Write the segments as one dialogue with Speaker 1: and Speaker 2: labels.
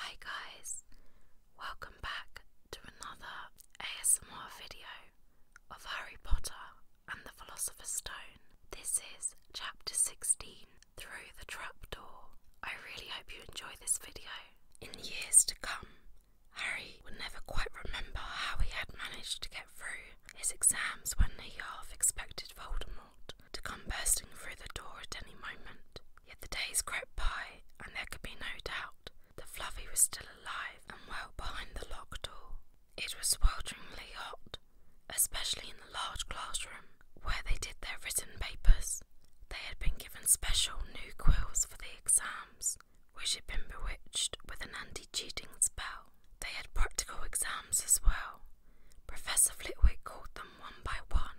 Speaker 1: Hi guys, welcome back to another ASMR video of Harry Potter and the Philosopher's Stone. This is chapter 16, Through the Trapdoor. I really hope you enjoy this video. In years to come, Harry would never quite remember how he had managed to get through his exams when he half expected Voldemort to come bursting through the door at any moment. Yet the days crept by, and there could be no doubt that Fluffy was still alive and well behind the locked door. It was swelteringly hot, especially in the large classroom where they did their written papers. They had been given special new quills for the exams, which had been bewitched with an anti cheating spell. They had practical exams as well. Professor Flitwick called them one by one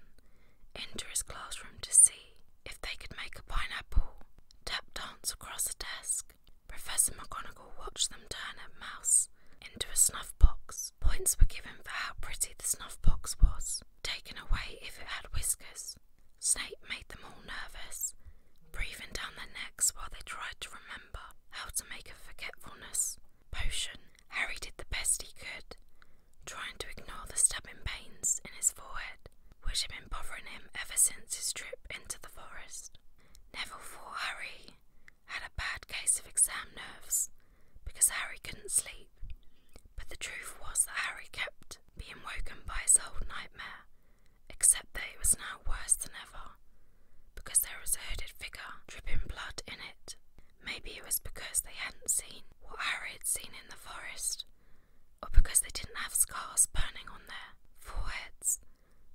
Speaker 1: into his classroom to see if they could make a pineapple tap dance across a desk. Professor McGonagall watched them turn a mouse into a snuff box. Points were given for how pretty the snuff box was, taken away if it had whiskers. Snape made them all nervous, breathing down their necks while they tried to remember how to make a forgetfulness potion. Harry did the best he could, trying to ignore the stabbing pains in his forehead, which had been bothering him ever since his trip into the forest. Never thought Harry had a bad case of exam nerves because Harry couldn't sleep, but the truth was that Harry kept being woken by his old nightmare, except that it was now worse than ever because there was a hooded figure dripping blood in it. Maybe it was because they hadn't seen what Harry had seen in the forest, or because they didn't have scars burning on their foreheads.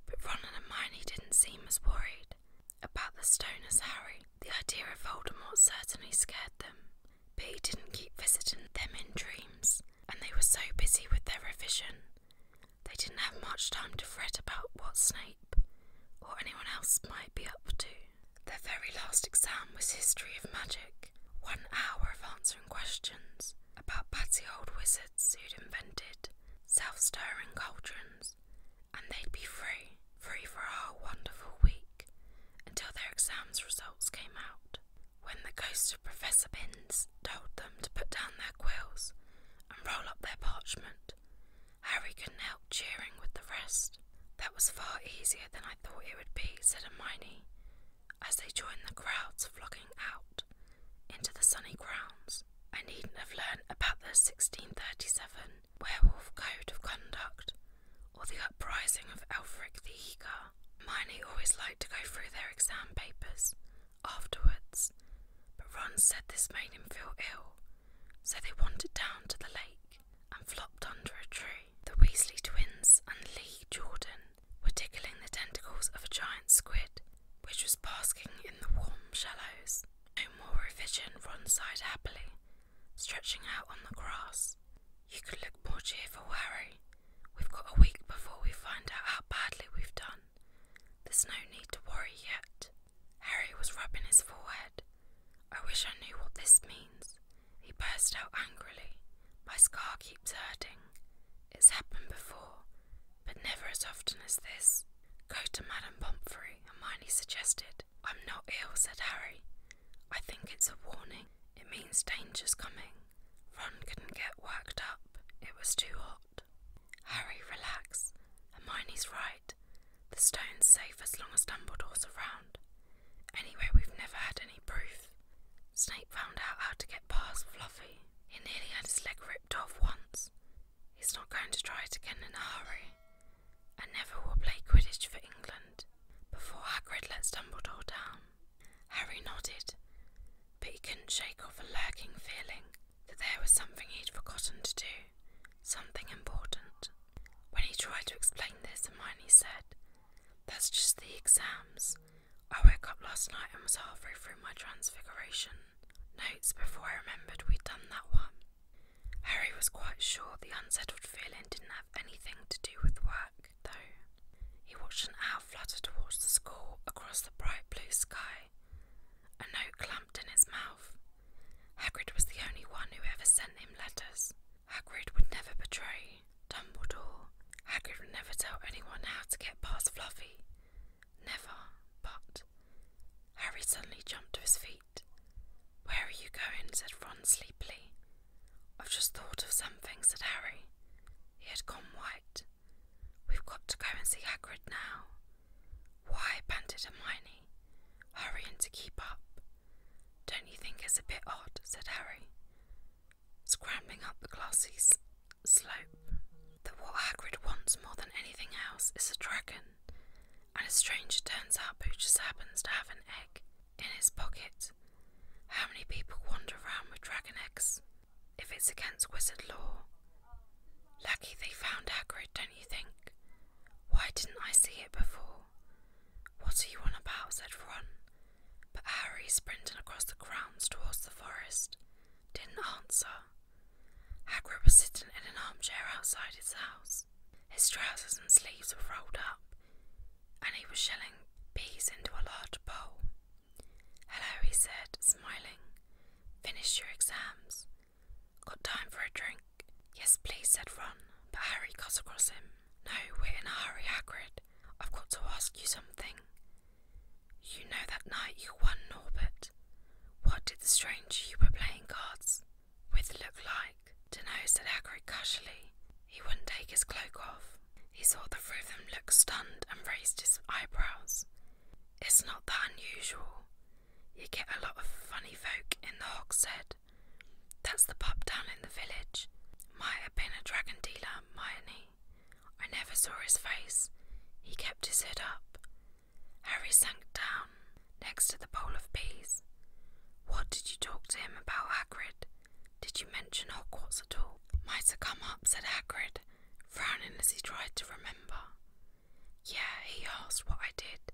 Speaker 1: But Ron and Hermione didn't seem as worried about the stone as Harry. The idea of Voldemort certainly scared them, but he didn't keep visiting them in dreams, and they were so busy with their revision they didn't have much time to fret about what Snape or anyone else might be up to. Their very last exam was History of Magic, one hour of answering questions about batty old wizards who'd invented self stirring cauldrons, and they'd be free, free for a whole wonderful week until their exam's results came out. When the ghost of Professor Binns told them to put down their quills and roll up their parchment, Harry couldn't help cheering with the rest. That was far easier than I thought it would be, said Hermione, as they joined the crowds flocking out into the sunny grounds. I needn't have learned about the 1637 werewolf code of conduct or the uprising of Elfric the Eager. Hermione always liked to go through their exam papers afterwards, but Ron said this made him feel ill, so they wandered down to the lake and flopped under a tree. The Weasley twins and Lee Jordan were tickling the tentacles of a giant squid, which was basking in the warm shallows. No more revision, Ron sighed happily, stretching out on the grass. You could look more cheerful, Harry. We've got a week before we find out how badly we've done. There's no need to worry yet. Harry was rubbing his forehead. I wish I knew what this means he burst out angrily. My scar keeps hurting. It's happened before, but never as often as this. Go to Madame Pomfrey, Hermione suggested. I'm not ill, said Harry. I think it's a warning. It means danger's coming. Ron couldn't get worked up. It was too hot. Harry, relax. Hermione's right. The stone's safe as long as Dumbledore's around. Anyway, we've never had any proof. Snape found out how to get past Fluffy. He nearly had his leg ripped off once. He's not going to try it again in a hurry. And never will play Quidditch for England before Hagrid lets Dumbledore down. Harry nodded, but he couldn't shake off a lurking feeling that there was something he'd forgotten to do, something important. When he tried to explain this, Hermione said, That's just the exams. I woke up last night and was halfway through my transfiguration notes before I remembered we'd done that one. Harry was quite sure the unsettled feeling didn't have anything to do with work, though. He watched an owl flutter towards the school across the bright blue sky. A note clamped in his mouth. Hagrid was the only one who ever sent him letters. Hagrid would never betray Dumbledore. Hagrid would never tell anyone how to get past Fluffy. Never, but. Harry suddenly jumped to his feet. Where are you going? said Ron sleepily. I've just thought of something, said Harry. He had gone white. We've got to go and see Hagrid now. Why? panted Hermione, hurrying to keep up. Don't you think it's a bit odd? said Harry, scrambling up the glassy slope. That what Hagrid wants more than anything else is a dragon, and a stranger turns up who just happens to have an egg in his pocket. How many people wander around with dragon eggs? If it's against wizard law. Lucky they found Hagrid, don't you think? Why didn't I see it before? What are you on about? said Ron. But Harry, sprinting across the grounds towards the forest, didn't answer. Hagrid was sitting in an armchair outside his house. His trousers and sleeves were rolled up, and he was shelling peas into a large bowl. Hello, he said, smiling. Finished your exams. Got time for a drink? Yes, please, said Ron, but Harry cut across him. No, we're in a hurry, Hagrid. I've got to ask you something. You know that night you won Norbert. What did the stranger you were playing cards with look like? To know said Hagrid casually. He wouldn't take his cloak off. He saw the three of them look stunned and raised his eyebrows. It's not that unusual. You get a lot of funny folk in the Hogshead. That's the pub down in the village. Might have been a dragon dealer, mightn't I never saw his face. He kept his head up. Harry sank down next to the bowl of peas. What did you talk to him about, Hagrid? Did you mention Hogwarts at all? Might have come up, said Hagrid, frowning as he tried to remember. Yeah, he asked what I did,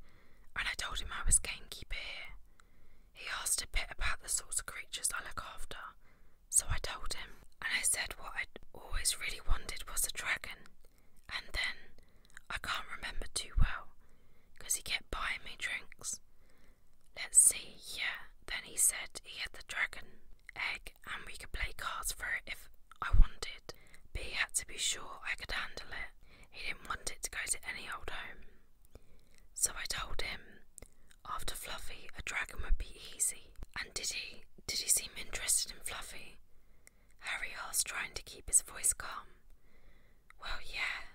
Speaker 1: and I told him I was gamekeeper here. He asked a bit about the sorts of creatures I look after, so I told him, and I said what I'd always really wanted was a dragon. And then, I can't remember too well, because he kept buying me drinks. Let's see, yeah. Then he said he had the dragon egg and we could play cards for it if I wanted, but he had to be sure I could handle it. He didn't want it to go to any old home. So I told him after Fluffy a dragon would be easy. And did he did he seem interested in Fluffy? Harry asked, trying to keep his voice calm. Well yeah.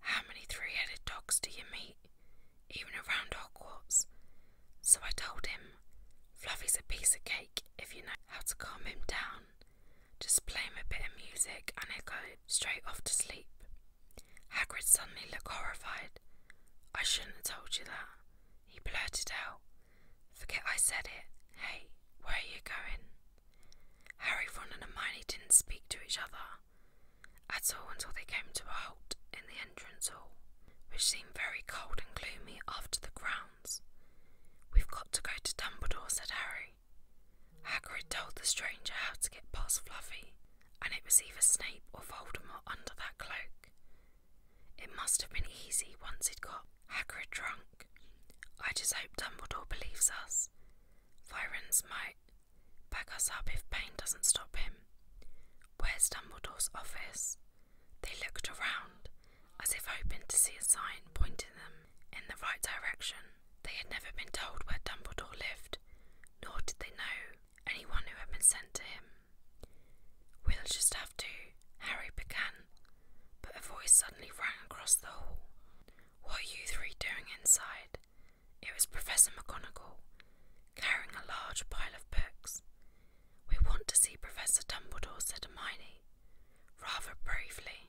Speaker 1: How many three headed dogs do you meet? Even around Hogwarts. So I told him, Fluffy's a piece of cake if you know how to calm him down just play him a bit of music, and it will go straight off to sleep. Hagrid suddenly looked horrified. I shouldn't have told you that, he blurted out. Forget I said it. Hey, where are you going? Harry, Ron, and Hermione didn't speak to each other at all until they came to a halt in the entrance hall, which seemed very cold and gloomy after the grounds. We've got to go to Dumbledore, said Harry. Hagrid told the stranger how to get past Fluffy, and it was either Snape or Voldemort under that cloak. It must have been easy once it got Hagrid drunk. I just hope Dumbledore believes us. Virens might back us up if Pain doesn't stop him. Where's Dumbledore's office? They looked around, as if hoping to see a sign pointing them in the right direction. They had never been told where Dumbledore lived, nor did they know anyone who had been sent to him. We'll just have to, Harry began, but a voice suddenly rang across the hall. What are you three doing inside? It was Professor McGonagall, carrying a large pile of books. We want to see Professor Dumbledore, said Hermione, rather briefly.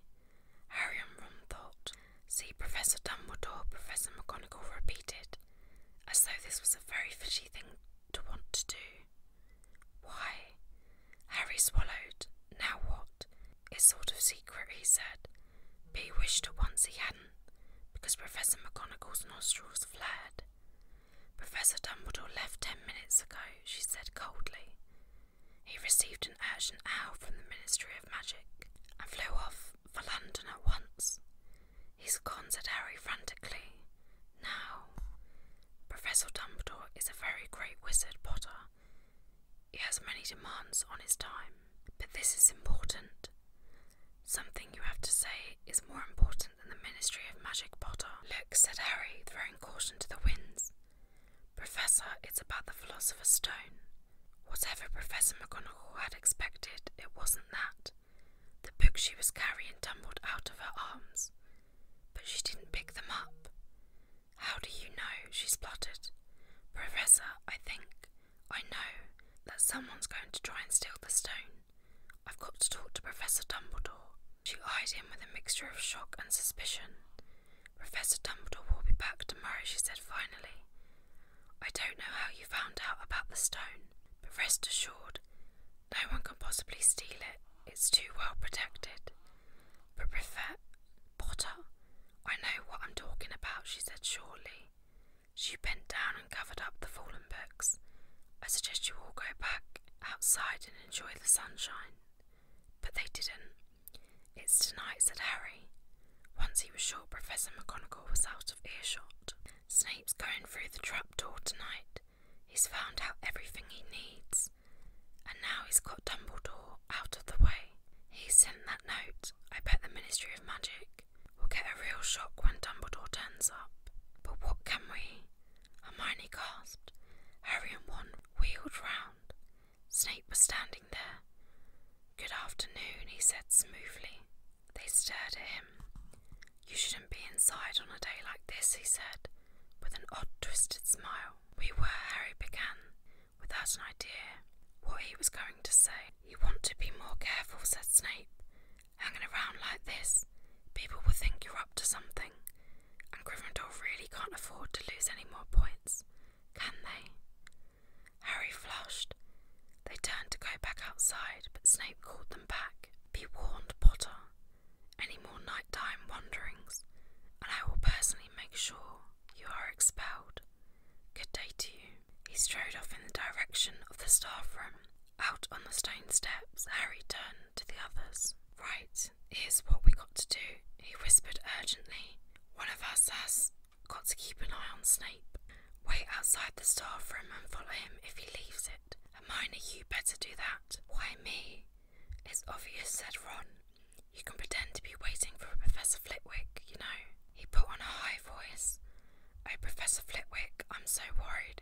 Speaker 1: Harry and Ron thought. See, Professor Dumbledore, Professor McGonagall repeated, as though this was a very fishy thing to want to do. Why? Harry swallowed. Now what? It's sort of secret, he said. But he wished at once he hadn't, because Professor McGonagall's nostrils flared. Professor Dumbledore left ten minutes ago, she said coldly. He received an urgent owl from the Ministry of Magic and flew off for London at once. He's gone, said Harry frantically. Now, Professor Dumbledore is a very great wizard, Potter. He has many demands on his time, but this is important. Something you have to say is more important than the Ministry of Magic, Potter. Look, said Harry, throwing caution to the winds. Professor, it's about the Philosopher's Stone. Whatever Professor McGonagall had expected, it wasn't that. The book she was carrying tumbled out of her arms, but she didn't pick them up. How do you know? she spluttered. Professor, I think, I know, that someone's going to try and steal the stone. I've got to talk to Professor Dumbledore. She eyed him with a mixture of shock and suspicion. Professor Dumbledore will be back tomorrow, she said finally. I don't know how you found out about the stone, but rest assured, no one can possibly steal it. It's too well protected. But Professor Potter, I know what I'm talking about, she said shortly. She bent down and covered up the fallen books. I suggest you all go back outside and enjoy the sunshine. But they didn't. It's tonight, said Harry. Once he was sure Professor McGonagall was out of earshot. Snape's going through the trapdoor tonight. He's found out everything he needs. And now he's got Dumbledore out of the way. He sent that note. I bet the Ministry of Magic will get a real shock when Dumbledore turns up. But what can we? Hermione gasped. Harry and Ron wheeled round. Snape was standing there. Good afternoon, he said smoothly. They stared at him. You shouldn't be inside on a day like this, he said, with an odd twisted smile. We were, Harry began, without an idea what he was going to say. You want to be more careful, said Snape. Hanging around like this, people will think you're up to something, and Gryffindor really can't afford to lose any more points, can they? Harry flushed. They turned to go back outside, but Snape called them back. Be warned, Potter. Any more nighttime wanderings, and I will personally make sure you are expelled. Good day to you. He strode off in the direction of the staff room. Out on the stone steps, Harry turned to the others. Right, here's what we got to do, he whispered urgently. One of us has got to keep an eye on Snape. Wait outside the staff room and follow him if he leaves it. Hermione, you better do that. Why me? It's obvious, said Ron. You can pretend to be waiting for Professor Flitwick, you know. He put on a high voice. Oh, Professor Flitwick, I'm so worried.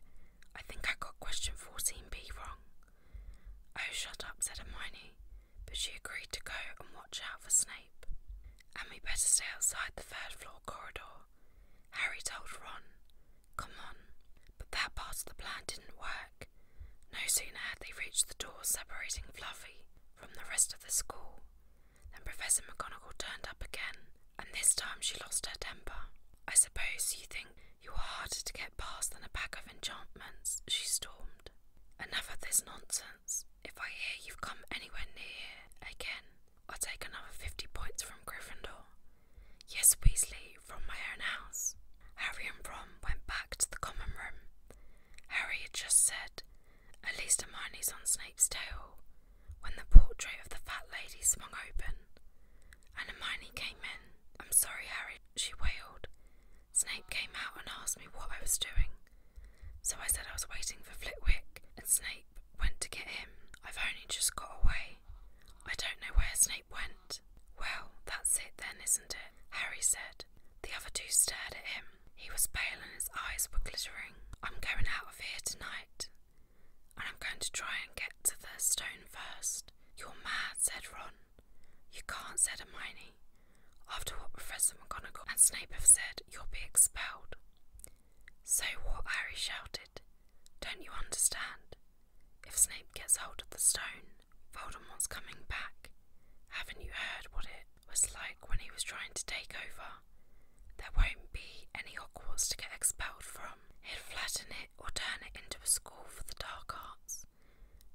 Speaker 1: I think I got question 14b wrong. Oh, shut up, said Hermione but she agreed to go and watch out for Snape. And we better stay outside the third floor corridor, Harry told Ron. Come on. But that part of the plan didn't work. No sooner had they reached the door separating Fluffy from the rest of the school than Professor McGonagall turned up again, and this time she lost her temper. I suppose you think you are harder to get past than a pack of enchantments, she stormed. Enough of this nonsense. If I hear you've come anywhere near here again, I'll take another fifty points from Gryffindor. Yes, Weasley, from my own house. Harry and Ron went back to the common room. Harry had just said, At least Hermione's on Snape's tail, when the portrait of the fat lady swung open, and Hermione came in. I'm sorry, Harry, she wailed. Snake came out and asked me what I was doing. So I said I was waiting for Flitwick, and Snape went to get him. I've only just got away. I don't know where Snape went. Well, that's it then, isn't it? Harry said. The other two stared at him. He was pale and his eyes were glittering. I'm going out of here tonight, and I'm going to try and get to the stone first. You're mad, said Ron. You can't, said Hermione. After what Professor McGonagall and Snape have said, you'll be expelled. So what? Harry shouted. Don't you understand? If Snape gets hold of the stone, Voldemort's coming back. Haven't you heard what it was like when he was trying to take over? There won't be any Hogwarts to get expelled from. He'll flatten it or turn it into a school for the dark arts.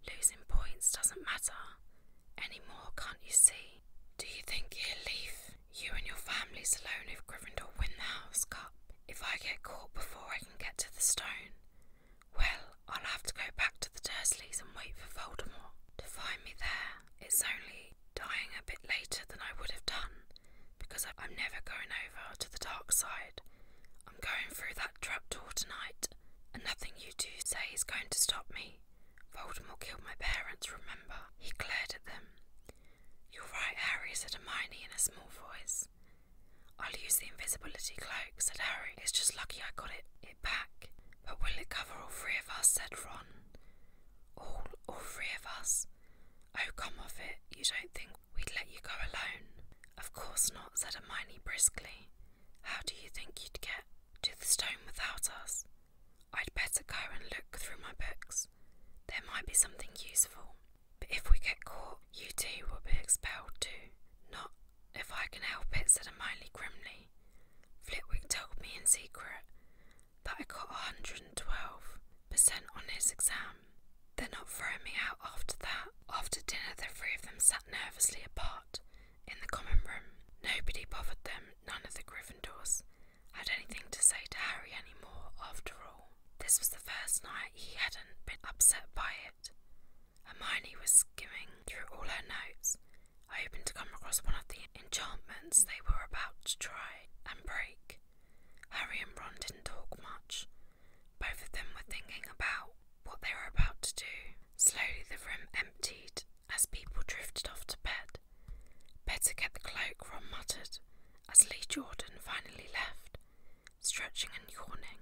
Speaker 1: Losing points doesn't matter anymore, can't you see? Do you think he'll leave you and your families alone if Gryffindor win the House Cup? If I get caught before I can get to the stone? Well, I'll have to go back to the Dursleys and wait for Voldemort to find me there. It's only dying a bit later than I would have done because I'm never going over to the dark side. I'm going through that trap door tonight, and nothing you do say is going to stop me. Voldemort killed my parents, remember? He glared at them. You're right, Harry, said Hermione in a small voice. I'll use the invisibility cloak, said Harry. It's just lucky I got it, it back. But will it cover all three of us, said Ron. All, all three of us? Oh, come off it. You don't think we'd let you go alone? Of course not, said Hermione briskly. How do you think you'd get to the stone without us. I'd better go and look through my books. There might be something useful. But if we get caught, you too will be expelled too. Not if I can help it, said Emily grimly. Flitwick told me in secret that I got 112% on his exam. They're not throwing me out after that. After dinner, the three of them sat nervously apart, in the common room. Nobody bothered them, none of the Gryffindors had anything to say to Harry anymore. after all. This was the first night he hadn't been upset by it. Hermione was skimming through all her notes, hoping to come across one of the enchantments they were about to try and break. Harry and Ron didn't talk much. Both of them were thinking about what they were about to do. Slowly the room emptied as people drifted off to bed. Better get the cloak, Ron muttered, as Lee Jordan finally left, stretching and yawning.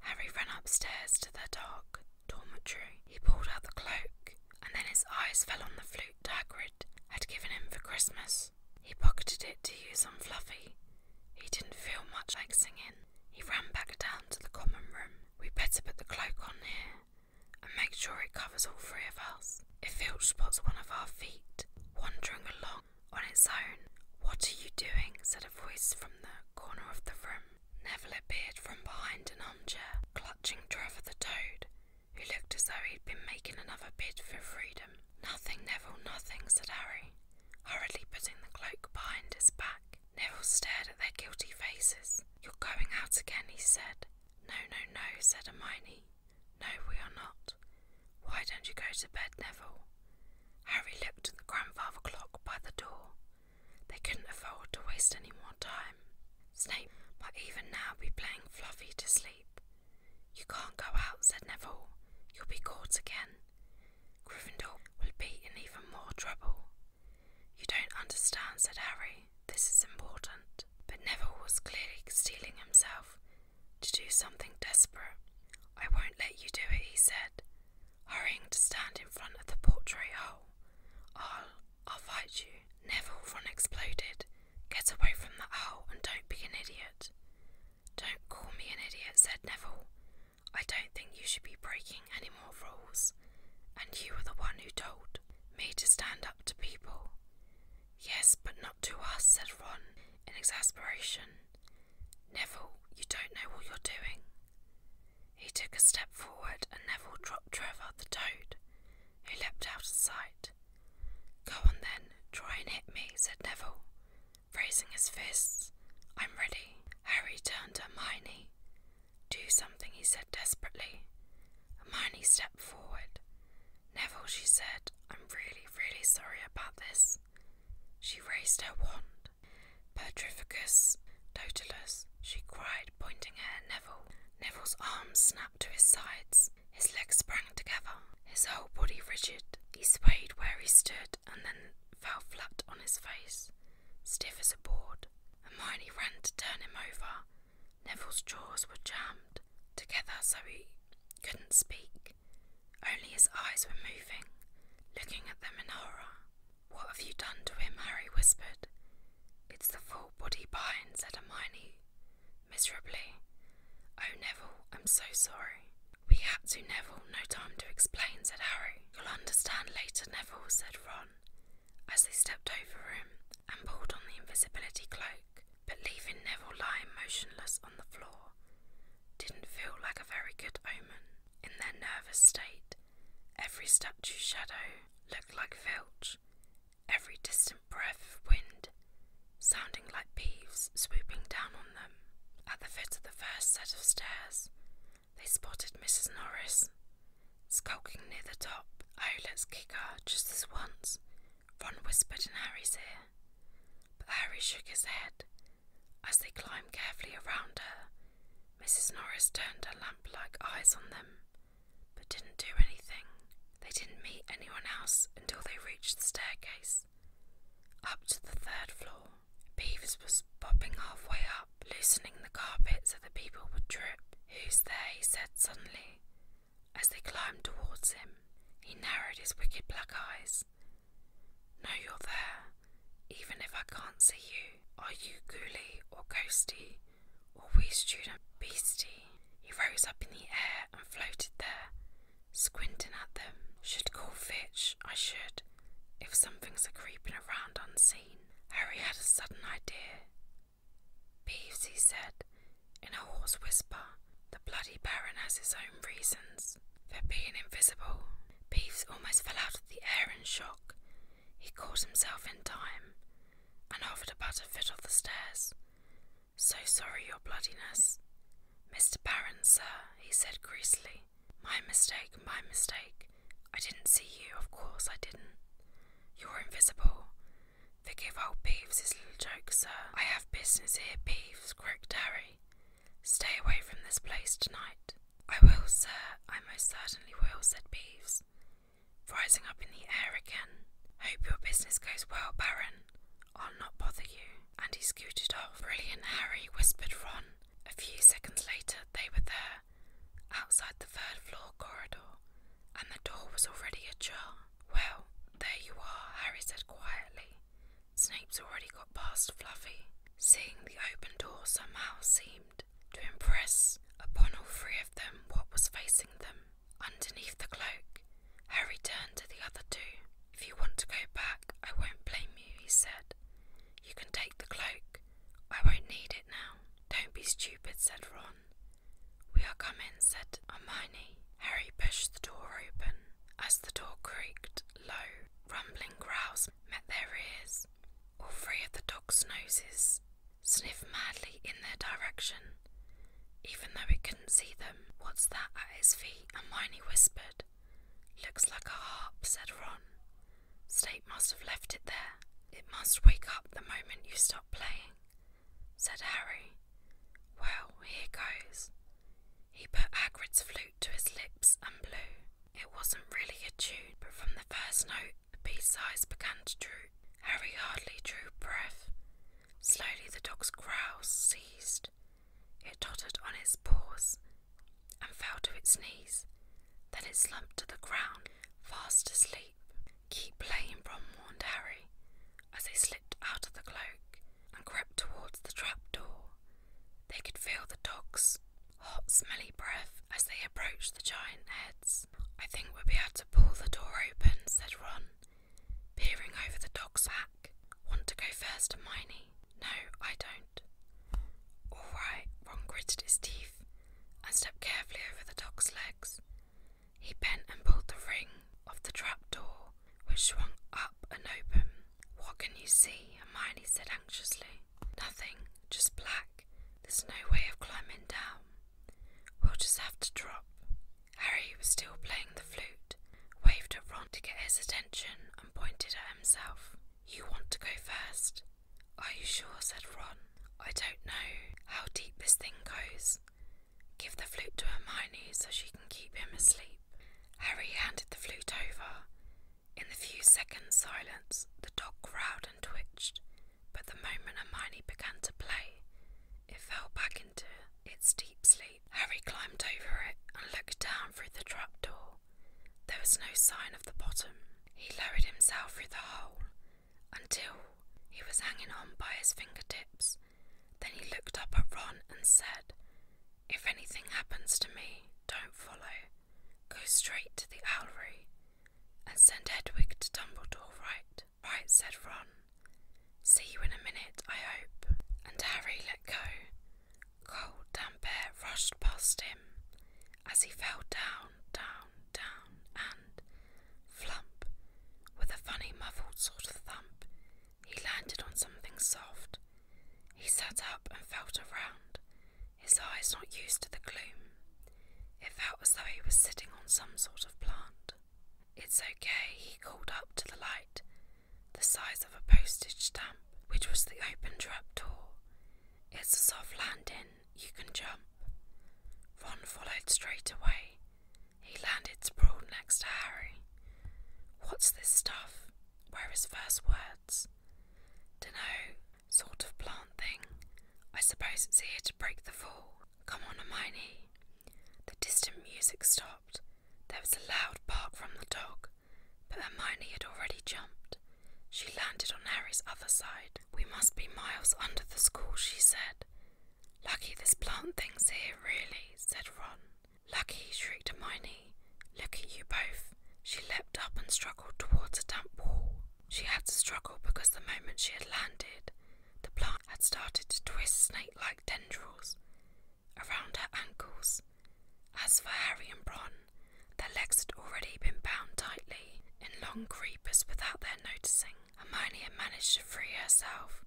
Speaker 1: Harry ran upstairs to their dark dormitory. He pulled out the cloak, and then his eyes fell on the flute Dagrid had given him for Christmas. He pocketed it to use on Fluffy. He didn't feel much like singing. He ran back down to the common room. We better put the cloak on here and make sure it covers all three of us. If Filch spots one of our feet wandering along on its own, what are you doing? said a voice from the corner of the room. Neville appeared from behind an armchair, clutching Trevor the Toad, who looked as though he'd been making another bid for freedom. Nothing, Neville, nothing, said Harry, hurriedly putting the cloak behind his back back. Neville stared at their guilty faces. You're going out again, he said. No, no, no, said Hermione. No, we are not. Why don't you go to bed, Neville? Harry looked at the grandfather clock by the door. They couldn't afford to waste any more time. Snape might even now be playing Fluffy to sleep. You can't go out, said Neville. You'll be caught again. Gryffindor will be in even more trouble. You don't understand, said Harry. This is important. But Neville was clearly steeling himself to do something desperate. I won't let you do it, he said, hurrying to stand in front of the portrait hole. I'll, I'll fight you. Neville, Ron exploded. Get away from that hole and don't be an idiot. Don't call me an idiot, said Neville. I don't think you should be breaking any more rules, and you were the one who told me to stand up to people. Yes, but not to us, said Ron in exasperation. Neville, you don't know what you're doing. He took a step forward, and Neville dropped Trevor the toad, who leapt out of sight. Go on then, try and hit me, said Neville, raising his fists. I'm ready. Harry turned to Hermione. Do something, he said desperately. Hermione stepped forward. Neville, she said, I'm really, really sorry about this. She raised her wand. Petrificus totalus, she cried, pointing at Neville. Neville's arms snapped to his sides. His legs sprang together, his whole body rigid. He swayed where he stood and then fell flat on his face, stiff as a board. Hermione ran to turn him over. Neville's jaws were jammed together so he couldn't speak. Only his eyes were moving, looking at them in horror. What have you done to him? Harry whispered. It's the full body bind, said Hermione miserably. Oh, Neville, I'm so sorry. We had to, Neville, no time to explain, said Harry. You'll understand later, Neville, said Ron. As they stepped over him and pulled on the invisibility cloak, but leaving Neville lying motionless on the floor, didn't feel like a very good omen. In their nervous state, every statue shadow looked like filch, every distant breath of wind sounding like beeves swooping down on them. At the foot of the first set of stairs, they spotted Mrs. Norris skulking near the top. Oh, let's kick her just this once, Ron whispered in Harry's ear. But Harry shook his head. As they climbed carefully around her, Mrs. Norris turned her lamp like eyes on them, but didn't do anything. They didn't meet anyone else until they reached the staircase, up to the third floor. Beavers was popping halfway up, loosening the carpet so the people would trip. Who's there? he said suddenly, as they climbed towards him. He narrowed his wicked black eyes. No, you're there, even if I can't see you. Are you Ghoulie or Ghosty or wee student Beastie? He rose up in the air and floated there, squinting at them. Should call Fitch, I should, if something's a creeping around unseen. Harry had a sudden idea. Peeves, he said, in a hoarse whisper, the bloody Baron has his own reasons for being invisible. Peeves almost fell out of the air in shock. He caught himself in time and offered a a foot off the stairs. So sorry, your bloodiness. Mr. Baron, sir, he said greasily. My mistake, my mistake. I didn't see you, of course I didn't. You're invisible. Forgive old Peeves his little joke, sir. I have business here, Peeves, croaked Harry. Stay away from this place tonight. I will, sir, I most certainly will, said Peeves, rising up in the air again. Hope your business goes well, Baron. I'll not bother you. And he scooted off. Brilliant, Harry, whispered Ron. A few seconds later, they were there outside the third floor corridor, and the door was already ajar. Well, there you are, Harry said quietly. Snape's already got past Fluffy. Seeing the open door somehow seemed to impress upon all three of them what was facing them. Underneath the cloak, Harry turned to the other two. If you want to go back, I won't blame you, he said. You can take the cloak I won't need it now. Don't be stupid, said Ron. We are coming, said Hermione. Harry pushed the door open. As the door creaked, low, rumbling growls met their ears. All three of the dog's noses sniffed madly in their direction. Even though it couldn't see them, what's that at his feet? And Hermione whispered. Looks like a harp, said Ron. Snape must have left it there. It must wake up the moment you stop playing, said Harry. Well, here goes. He put Hagrid's flute to his lips and blew. It wasn't really a tune, but from the first note, the beast's eyes began to droop. Harry hardly drew breath. Slowly, the dog's growls ceased. It tottered on its paws and fell to its knees. Then it slumped to the ground, fast asleep. Keep playing, Ron warned Harry, as they slipped out of the cloak and crept towards the trap door. They could feel the dog's hot, smelly breath as they approached the giant heads. I think we'll be able to pull the door open, said Ron, peering over the dog's back. Want to go first, Hermione? No, I don't, all right, Ron gritted his teeth and stepped carefully over the dog's legs. He bent and pulled the ring off the trap door, which swung up and open. What can you see? Hermione said anxiously. Nothing, just black. There's no way of climbing down. We'll just have to drop. Harry was still playing the flute, waved at Ron to get his attention, and pointed at himself. You want to go first? Are you sure? said Ron. I don't know how deep this thing goes. Give the flute to Hermione so she can keep him asleep. Harry handed the flute over. In the few seconds' silence, the dog growled and twitched, but the moment Hermione began to play, it fell back into its deep sleep. Harry climbed over it and looked down through the trapdoor. There was no sign of the bottom. He lowered himself through the hole until he was hanging on by his fingertips. Then he looked up at Ron and said, If anything happens to me, don't follow. Go straight to the owlry and send Hedwig to Dumbledore, right? Right, said Ron. See you in a minute, I hope. And Harry let go. Cold, damp air rushed past him as he fell down, down, down, and flump, with a funny muffled sort of thump, he landed on something soft. He sat up and felt around, his eyes not used to the gloom. It felt as though he was sitting on some sort of plant. It's okay, he called up to the light, the size of a postage stamp, which was the open trap door. It's a soft landing, you can jump. Ron followed straight away. He landed sprawled next to Harry. What's this stuff? Were his first words. Dunno, sort of plant thing. I suppose it's here to break the fall. Come on, Hermione. The distant music stopped. There was a loud bark from the dog, but Hermione had already jumped. She landed on Harry's other side. We must be miles under the school, she said. Lucky this plant thing's here, really, said Ron. Lucky, shrieked Hermione. Look at you both. She leapt up and struggled towards a damp wall. She had to struggle because the moment she had landed, the plant had started to twist snake like tendrils around her ankles. As for Harry and Ron. Their legs had already been bound tightly in long creepers without their noticing. Hermione had managed to free herself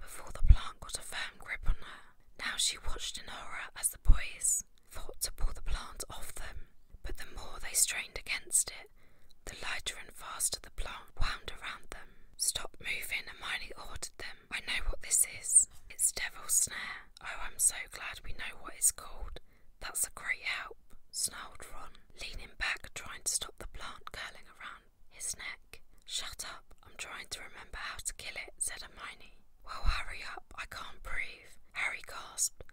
Speaker 1: before the plant got a firm grip on her. Now she watched in horror as the boys fought to pull the plant off them, but the more they strained against it, the lighter and faster the plant wound around them. Stop moving, Hermione ordered them. I know what this is. It's Devil's Snare. Oh, I'm so glad we know what it's called. That's a great help, snarled Ron, leaning back, trying to stop the plant curling around his neck. Shut up, I'm trying to remember how to kill it, said Hermione. Well, hurry up, I can't breathe, Harry gasped,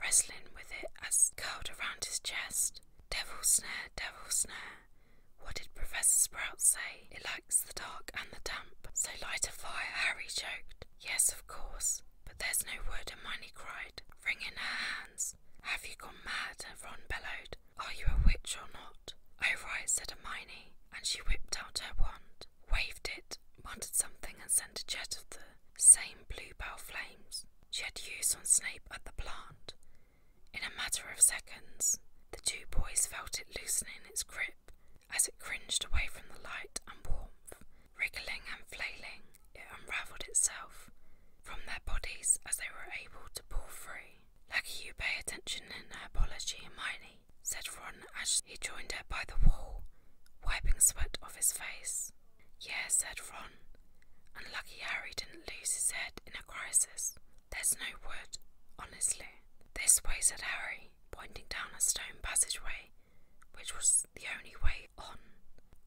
Speaker 1: wrestling with it as it curled around his chest. "Devil's snare, Devil's snare. What did Professor Sprout say? It likes the dark and the damp, so light a fire, Harry joked. Yes, of course. But there's no wood, and Miney cried, wringing her hands. Have you gone mad? And Ron bellowed. Are you a witch or not? Oh, right, said Hermione, and she whipped out her wand, waved it, muttered something, and sent a jet of the same bluebell flames she had used on Snape at the plant. In a matter of seconds, the two boys felt it loosening its grip as it cringed away from the light and warmth Wriggling and flailing, it unravelled itself from their bodies as they were able to pull free. Lucky you pay attention in herbology, Hermione, said Ron as he joined her by the wall, wiping sweat off his face. Yes, said Ron, and lucky Harry didn't lose his head in a crisis. There's no wood, honestly. This way, said Harry, pointing down a stone passageway, which was the only way on.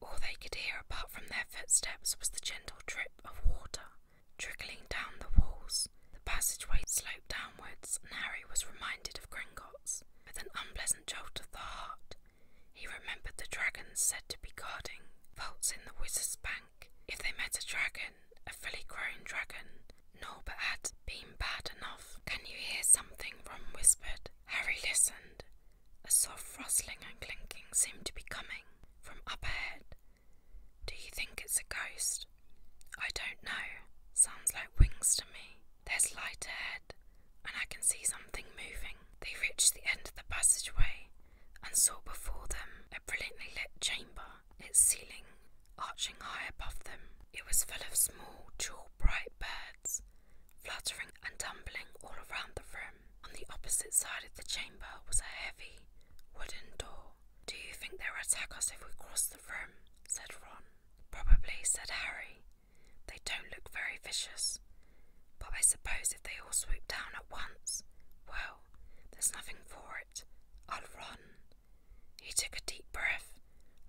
Speaker 1: All they could hear apart from their footsteps was the gentle drip of water trickling down the walls. The passageway sloped downwards, and Harry was reminded of Gringotts. With an unpleasant jolt of the heart, he remembered the dragons said to be guarding vaults in the wizard's bank. If they met a dragon, a fully grown dragon, Norbert had been bad enough. Can you hear something? Ron whispered. Harry listened. A soft rustling and clinking seemed to be coming from up ahead. Do you think it's a ghost? I don't know. Sounds like wings to me. There's light ahead, and I can see something moving. They reached the end of the passageway and saw before them a brilliantly lit chamber, its ceiling arching high above them. It was full of small, jewel bright birds fluttering and tumbling all around the room. On the opposite side of the chamber was a heavy wooden door. Do you think they'll attack us if we cross the room? said Ron. Probably, said Harry. They don't look very vicious. But I suppose if they all swoop down at once, well, there's nothing for it. I'll run. He took a deep breath,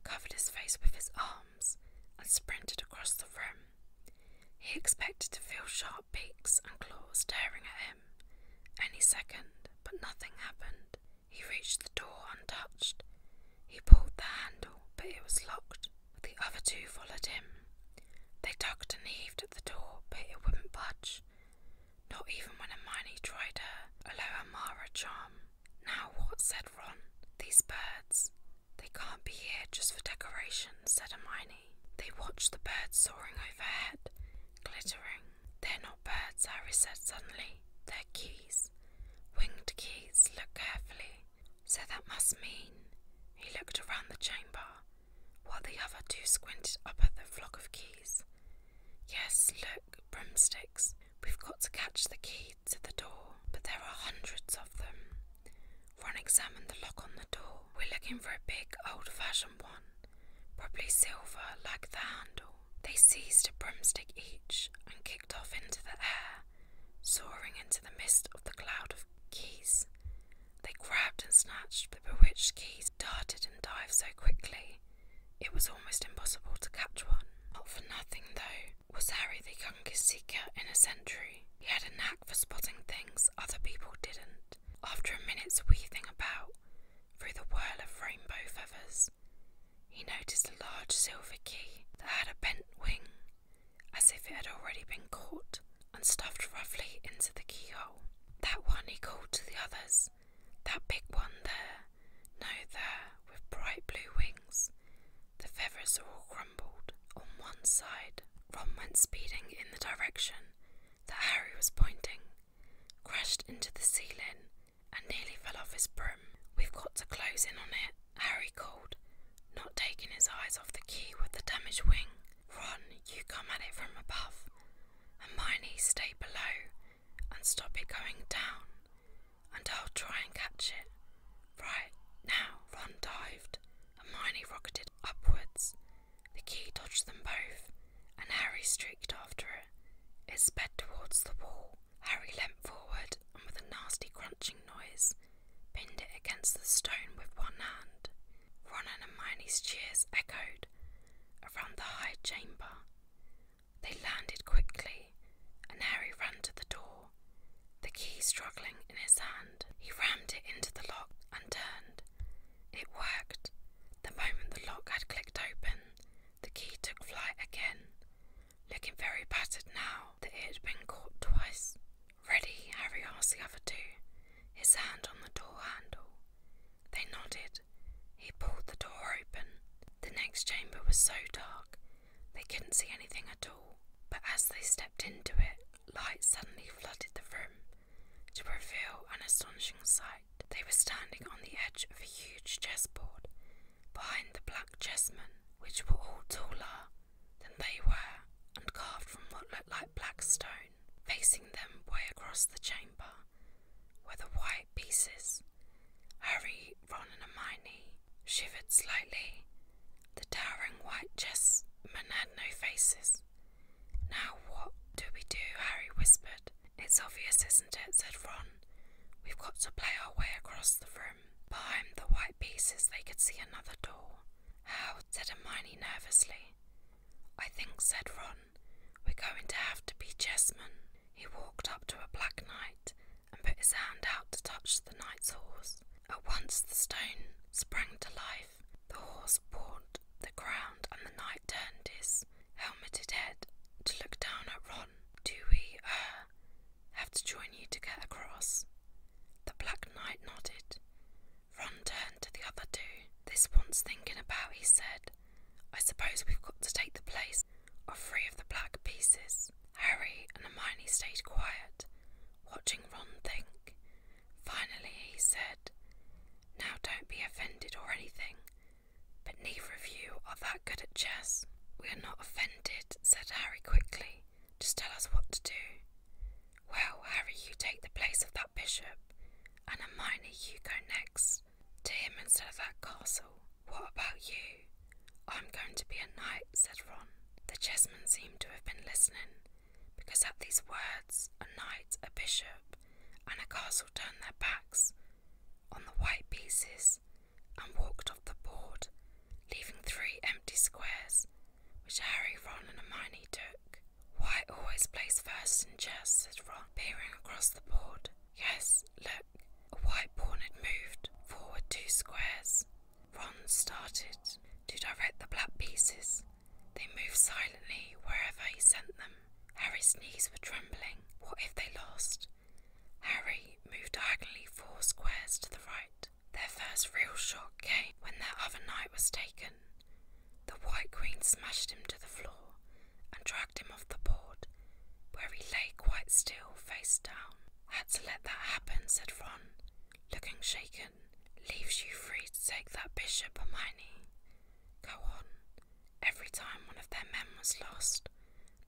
Speaker 1: covered his face with his arm, and sprinted across the room. He expected to feel sharp beaks and claws tearing at him any second, but nothing happened. He reached the door untouched. He pulled the handle, but it was locked. The other two followed him. They tugged and heaved at the door, but it wouldn't budge, not even when Hermione tried her Aloha Mara charm. Now what? said Ron. These birds. They can't be here just for decoration, said Hermione. They watch the birds soaring overhead, glittering. They're not birds, Harry said suddenly. They're keys. Winged keys. Look carefully. So that must mean. He looked around the chamber, while the other two squinted up at the flock of keys. Yes, look, broomsticks. We've got to catch the key, gates at the door, but there are hundreds of them. Ron examined the lock on the door. We're looking for a big, old fashioned one, probably silver like the handle. They seized a broomstick each and kicked off into the air, soaring into the mist of the cloud of keys. They grabbed and snatched the bewitched keys, darted and dived so quickly, it was almost impossible to catch one. Not for nothing, though, was Harry the youngest seeker in a century. He had a knack for spotting things other people didn't. After a minute's weaving about through the whirl of rainbow feathers, he noticed a large silver key that had a bent wing, as if it had already been caught and stuffed roughly into the keyhole. That one he called to the others, that big one there now there with bright blue wings. The feathers are all crumbled on one side. Ron went speeding in the direction that Harry was pointing, crashed into the ceiling, and nearly fell off his broom. We've got to close in on it, Harry called, not taking his eyes off the key with the damaged wing. Ron, you come at it from above. and Hermione, stay below and stop it going down and I'll try and catch it. Right now, Ron dived. Hermione rocketed upwards. The key dodged them both, and Harry streaked after it. It sped towards the wall. Harry leapt forward and, with a nasty crunching noise, pinned it against the stone with one hand. Ron and Hermione's cheers echoed around the high chamber. They landed quickly, and Harry ran to the door, the key struggling in his hand. He rammed it into the lock and turned. It worked. The moment the lock had clicked open, the key took flight again, looking very battered now that it had been caught twice. Ready, Harry asked the other two, his hand on the door handle. They nodded. He pulled the door open. The next chamber was so dark they couldn't see anything at all, but as they stepped into it, light suddenly flooded the room to reveal an astonishing sight. They were standing on the edge of a huge chessboard behind the black chessmen, which were all taller than they were and carved from what looked like black stone. Facing them way across the chamber were the white pieces Harry, Ron, and Hermione shivered slightly. The towering white chessmen had no faces. Now what do we do? Harry whispered. It's obvious, isn't it? said Ron. We've got to play our way across the room. Behind the white pieces, they could see another door. How? said Hermione nervously. I think, said Ron, we're going to have to be chessmen. He walked up to a black knight and put his hand out to touch the knight's horse. At once the stone sprang to life. The horse pawed the ground, and the knight turned his helmeted head to look down at Ron. Do we, uh, have to join you to get across? The black knight nodded. Ron turned to the other two. This wants thinking about, he said. I suppose we've got to take the place of three of the black pieces. Harry and Hermione stayed quiet, watching Ron think. Finally, he said, Now don't be offended or anything, but neither of you are that good at chess. We are not offended, said Harry quickly. Just tell us what to do. Well, Harry, you take the place of that bishop, and Hermione, you go next to him instead of that castle. What about you? I'm going to be a knight, said Ron. The chessmen seemed to have been listening, because at these words, a knight, a bishop, and a castle turned their backs on the white pieces and walked off the board, leaving three empty squares, which Harry, Ron, and Hermione took. Why always place first in chess, said Ron, peering across the board. Yes, look, a white pawn had moved forward two squares. Ron started to direct the black pieces. They moved silently wherever he sent them. Harry's knees were trembling. What if they lost? Harry moved diagonally four squares to the right. Their first real shock came when their other knight was taken. The White Queen smashed him to the floor and dragged him off the board, where he lay quite still, face down had to let that happen, said Ron, looking shaken. Leaves you free to take that bishop, Hermione. Go on. Every time one of their men was lost,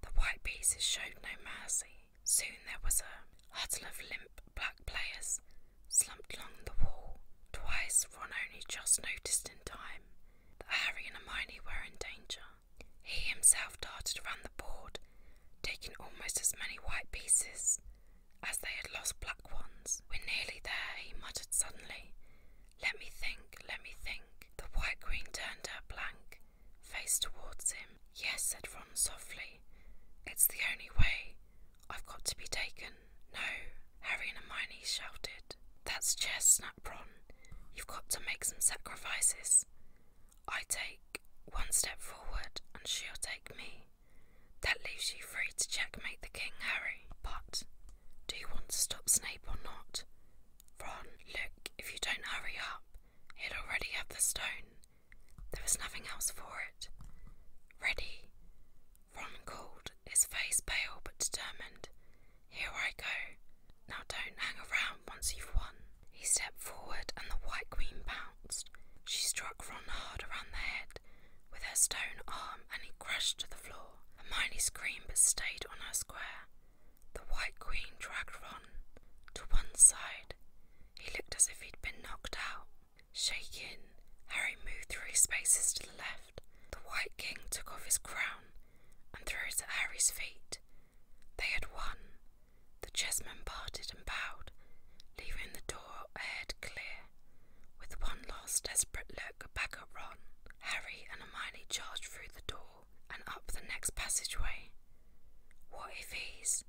Speaker 1: the white pieces showed no mercy. Soon there was a huddle of limp black players slumped along the wall. Twice Ron only just noticed in time that Harry and Hermione were in danger. He himself darted round the board, taking almost as many white pieces as they had lost black ones. We're nearly there, he muttered suddenly. Let me think, let me think. The white queen turned her blank face towards him. Yes, said Ron softly. It's the only way. I've got to be taken. No, Harry and Hermione shouted. That's chess, snapped Ron. You've got to make some sacrifices. I take one step forward and she'll take me. That leaves you free to checkmate the King Harry. But do you want to stop Snape or not? Ron, look, if you don't hurry up, he'll already have the stone. There was nothing else for it. Ready? Ron called, his face pale but determined. Here I go. Now don't hang around once you've won. He stepped forward and the White Queen bounced. She struck Ron hard around the head with her stone arm and he crashed to the floor. Hermione screamed but stayed on her square. The White Queen dragged Ron to one side. He looked as if he'd been knocked out. shaking. Harry moved three spaces to the left. The White King took off his crown and threw it at Harry's feet. They had won. The chessmen parted and bowed, leaving the door ahead clear. With one last desperate look back at Ron, Harry and Hermione charged through the door and up the next passageway. What if he's?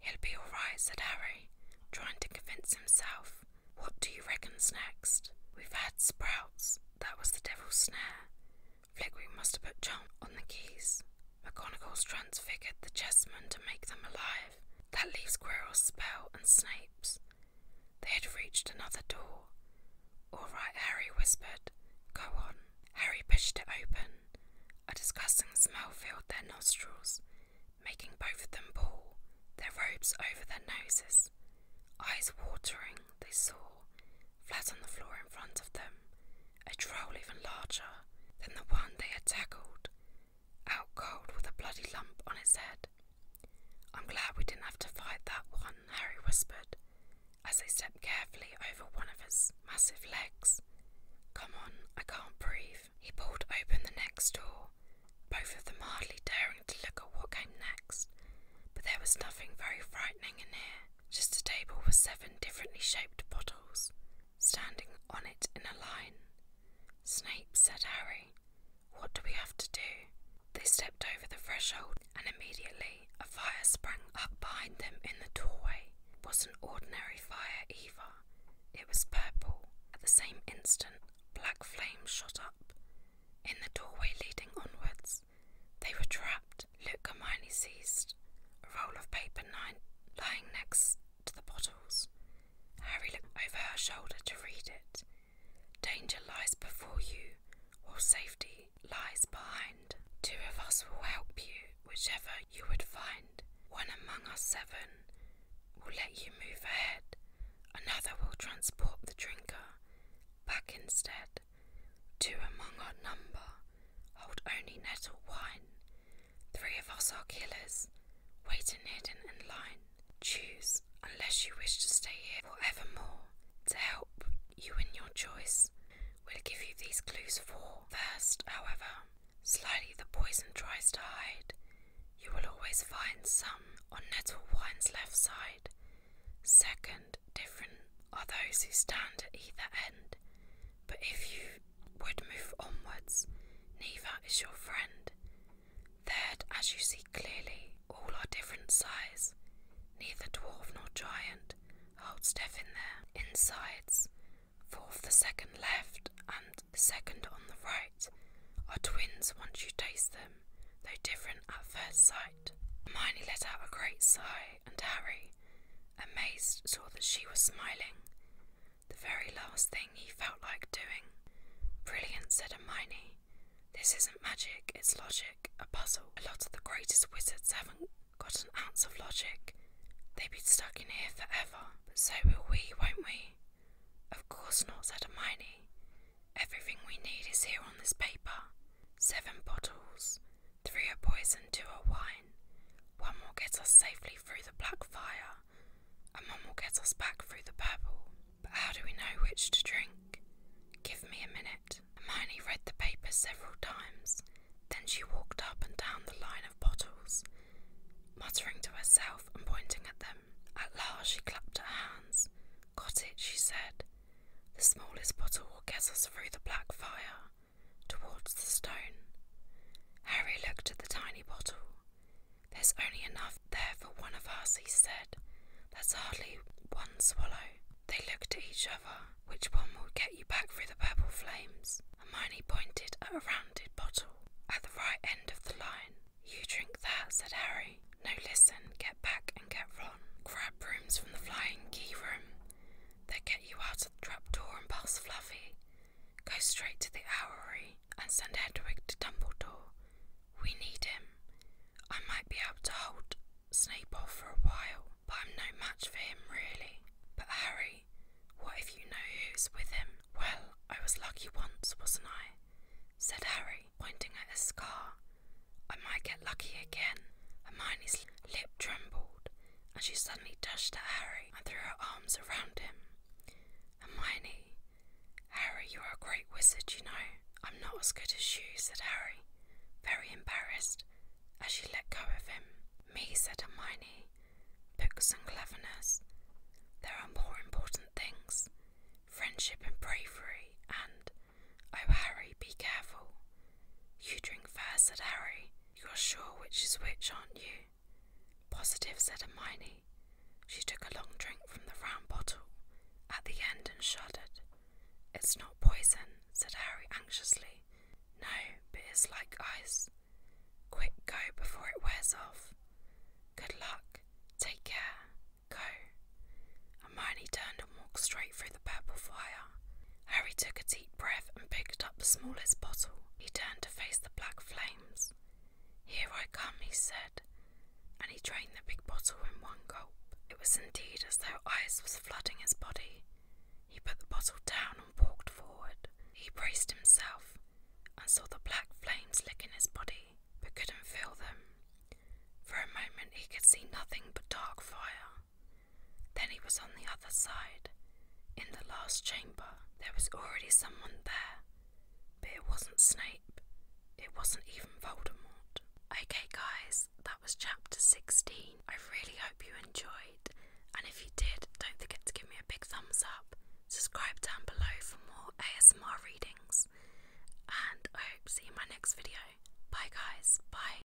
Speaker 1: He'll be all right, said Harry, trying to convince himself. What do you reckon's next? We've had sprouts. That was the devil's snare. Flickery must have put John on the keys. McGonagall's transfigured the chessmen to make them alive. That leaves Quirrell's spell and snakes. They had reached another door. All right, Harry whispered. Go on. Harry pushed it open. A disgusting smell filled their nostrils, making both of them pull, their robes over their noses. Eyes watering, they saw, flat on the floor in front of them, a troll even larger than the one they had tackled, out cold with a bloody lump on its head. I'm glad we didn't have to fight that one, Harry whispered, as they stepped carefully over one of its massive legs. Come on, I can't breathe. He pulled open the next door, both of them hardly daring to look at what came next, but there was nothing very frightening in here. Just a table with seven differently shaped bottles, standing on it in a line. Snape, said Harry, what do we have to do? They stepped over the threshold, and immediately a fire sprang up behind them in the doorway. It wasn't ordinary fire either, it was purple. At the same instant, black flames shot up in the doorway leading onwards. They were trapped. Luke Hermione seized a roll of paper lying next to the bottles. Harry looked over her shoulder to read it. Danger lies before you, while safety lies behind. Two of us will help you, whichever you would find. One among us seven will let you move ahead. Another will transport the drinker back instead. Two among our number hold only nettle wine. Three of us are killers, waiting hidden in line. Choose, unless you wish to stay here forevermore. To help you in your choice, we'll give you these clues for. First, however, slightly the poison tries to hide. You will always find some on nettle wine's left side. Second, different are those who stand at either end. But if you would move onwards, neither is your friend. There, as you see clearly, all are different size. Neither dwarf nor giant holds death in their insides. Fourth, the second left and second on the right are twins once you taste them, though different at first sight. Hermione let out a great sigh, and Harry, amazed, saw that she was smiling. The very last thing he felt like doing. Brilliant, said Hermione. This isn't magic, it's logic, a puzzle. A lot of the greatest wizards haven't got an ounce of logic. They'd be stuck in here forever. so will we, won't we? Of course not, said Hermione. Everything we need is here on this paper. Seven bottles, Three a poison, two a wine. One will get us safely through the black fire, and one will get us back through the purple. But how do we know which to drink? Give me a minute. Hermione read the paper several times. Then she walked up and down the line of bottles, muttering to herself and pointing at them. At last she clapped her hands. Got it, she said. The smallest bottle will get us through the black fire towards the stone. Harry looked at the tiny bottle. There's only enough there for one of us, he said. That's hardly one swallow. They looked at each other. Which one will get you back through the purple flames? Hermione pointed at a rounded bottle at the right end of the line. You drink that, said Harry. No, listen, get back and get Ron. Grab brooms from the flying key room. They get you out of the trapdoor and past Fluffy. Go straight to the owlery and send Hedwig to Dumbledore. We need him. I might be able to hold Snape off for a while, but I'm no match for him really. But Harry, what if you know who's with him? Well, I was lucky once, wasn't I? said Harry, pointing at the scar. I might get lucky again. Hermione's lip trembled and she suddenly dashed at Harry and threw her arms around him. Hermione, Harry, you are a great wizard, you know. I'm not as good as you, said Harry, very embarrassed, as she let go of him. Me, said Hermione, books and cleverness. There are more important things friendship and bravery, and, oh, Harry, be careful. You drink fair, said Harry. You are sure which is which, aren't you? Positive, said Hermione. She took a long drink from the round bottle at the end and shuddered. It's not poison, said Harry anxiously. No, but it's like ice. Quick, go before it wears off. Good luck. Take care. Go. Hermione turned and walked straight through the purple fire. Harry took a deep breath and picked up the smallest bottle. He turned to face the black flames. Here I come, he said, and he drained the big bottle in one gulp. It was indeed as though ice was flooding his body. He put the bottle down and walked forward. He braced himself and saw the black flames licking his body, but couldn't feel them. For a moment he could see nothing but dark fire. Then he was on the other side. In the last chamber, there was already someone there, but it wasn't Snape. It wasn't even Voldemort. Okay, guys, that was chapter 16. I really hope you enjoyed, and if you did, don't forget to give me a big thumbs up. Subscribe down below for more ASMR readings, and I hope to see you in my next video. Bye, guys. Bye.